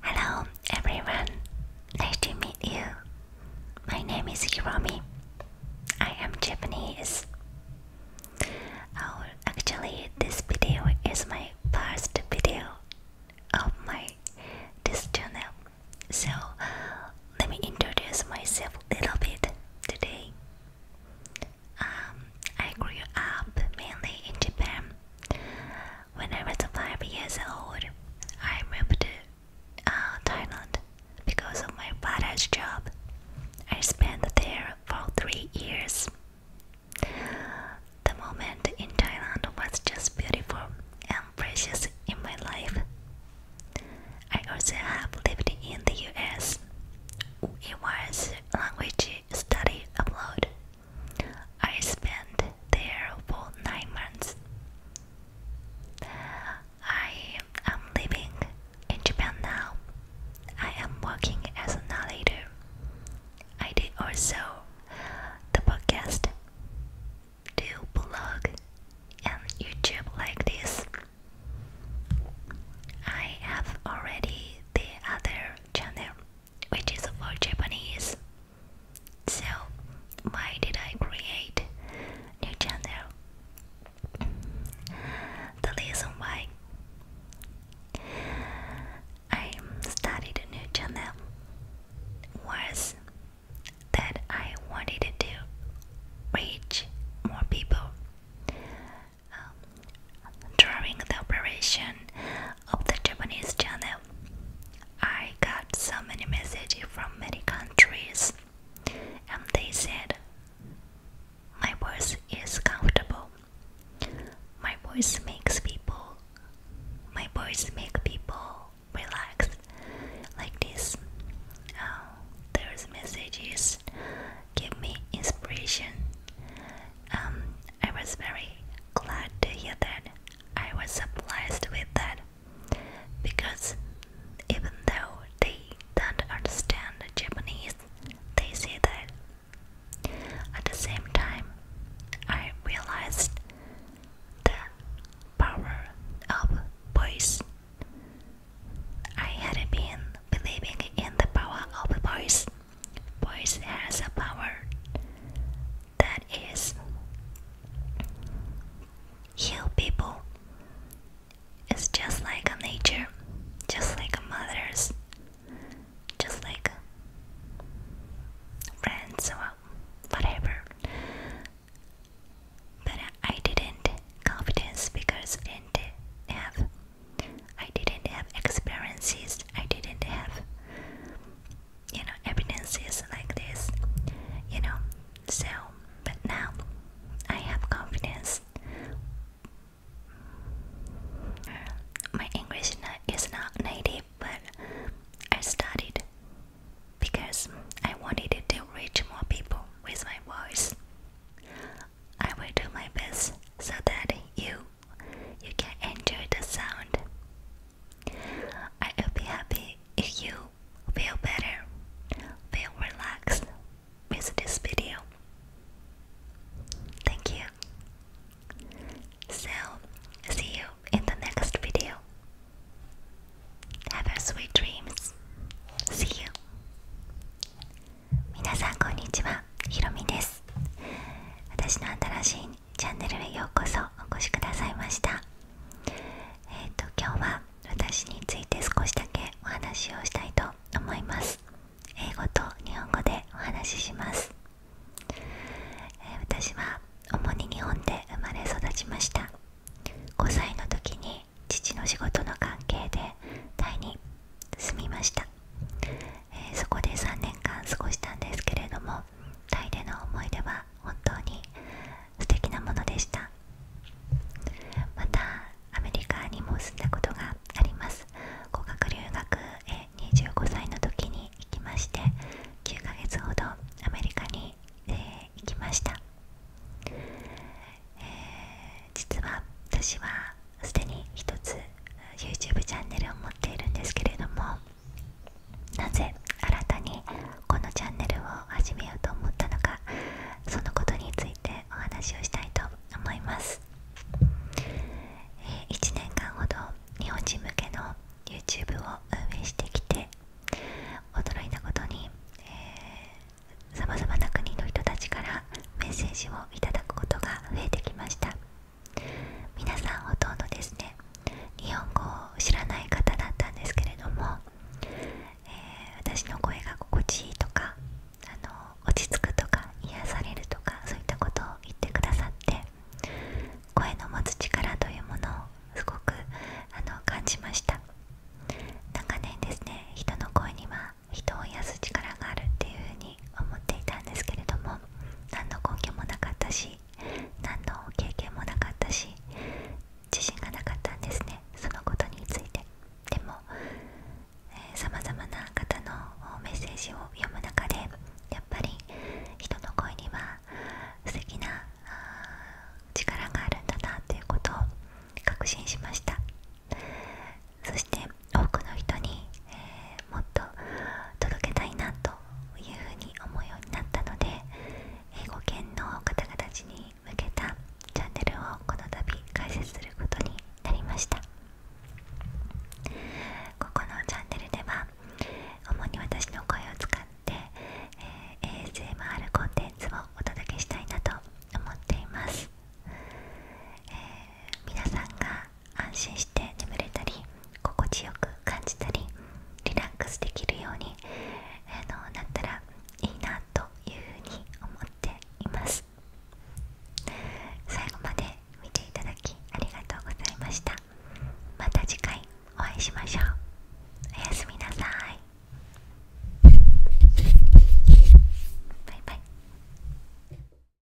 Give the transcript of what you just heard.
Hello everyone, nice to meet you. My name is Hiromi. I am Japanese. Oh, actually, this video is my first video of my this channel. So let me introduce myself a little bit today. Um, I grew up mainly in Japan. When I was five years old, I moved to uh, Thailand because of my father's job. I spent there for three years. The moment in Thailand was just beautiful and precious in my life. I also have lived in the US. It was language study abroad I spent there for nine months. I am living in Japan now. I am working as a narrator. I did also the podcast, do blog, and YouTube like this. I have already the other channel which is for Japanese. So, why did I create new channel? the reason why I started a new channel was that I wanted to reach more people. Um, during the operation of the Japanese channel, I got so many messages from many countries, and they said, My voice is comfortable. My voice makes people, my voice makes people relax. Like this, uh, those messages give me inspiration um, I was very glad to hear that I was surprised with that because even though they don't understand Japanese, they say that. At the same time, I realized the power of voice. I had been believing in the power of voice Voice has a power that is heal people. It's just like a nature, just like a mother's, just like friends or uh, whatever. But I didn't confidence because I didn't have I didn't have experiences, I didn't have you know evidences like this, you know. So, but now I have confidence. Uh, my English is not native, but I studied because I wanted to reach more people with my voice. I will do my best so that you you can enjoy the sound. I will be happy if you feel better, feel relaxed with this video. Thank you. So, see you in the next video. Have a sweet dreams. See you. 皆さんこんにちは、ひろみです。私の新しいチャンネルへようこそお越しくださいましたえっ、と今日は私について少しだけお話をしたいと思います英語と日本語でお話しします、え私は主に日本で生まれ育ちました5歳の時に父の仕事の関係でタイに住みましたえそこで3年間過ごしたんですけれどもタイでの思い出は本当に素敵なものでしたまたアメリカにも住んだことがあります語学留学へ25歳の時に行きまして9ヶ月ほどアメリカに、え行きました、えー、実は私はすでに1つ YouTube チャンネルを持っているんですけれどもなぜ新たにこのチャンネルを始めようと思ったのかそのことについてお話をしたいと思います、1年間ほど日本人向けの YouTube を運営してきて驚いたことにさまざまな国の人たちからメッセージをいただくことが増えてきました皆さんほとんどですね日本語を知らない方だったんですけれども、え私の声が心地いいとかあの落ち着くとか癒されるとかそういったことを言ってくださって声の持つ力というものをすごくあの感じました長年ですね人の声には人を癒す力があるっていうふうに思っていたんですけれども何の根拠もなかったし何の経験もなかったし自信がなかったんですねそのことについてでもさまざまな方のメッセージを読む中でやっぱり人の声には素敵な力があるんだなということを確信しましたそして多くの人に、えもっと届けたいなというふうに思うようになったので英語圏の方々たちに向けたチャンネルをこの度開設することになりましたここのチャンネルでは主に私の声を使って、え ASMR コンテンツをお届けしたいなと思っています、え皆さんが安心して眠れたり心地よく感じたりリラックスできるように、えのなったらいいなというふうに思っています最後まで見ていただきありがとうございましたまた次回お会いしましょうおやすみなさいバイバイ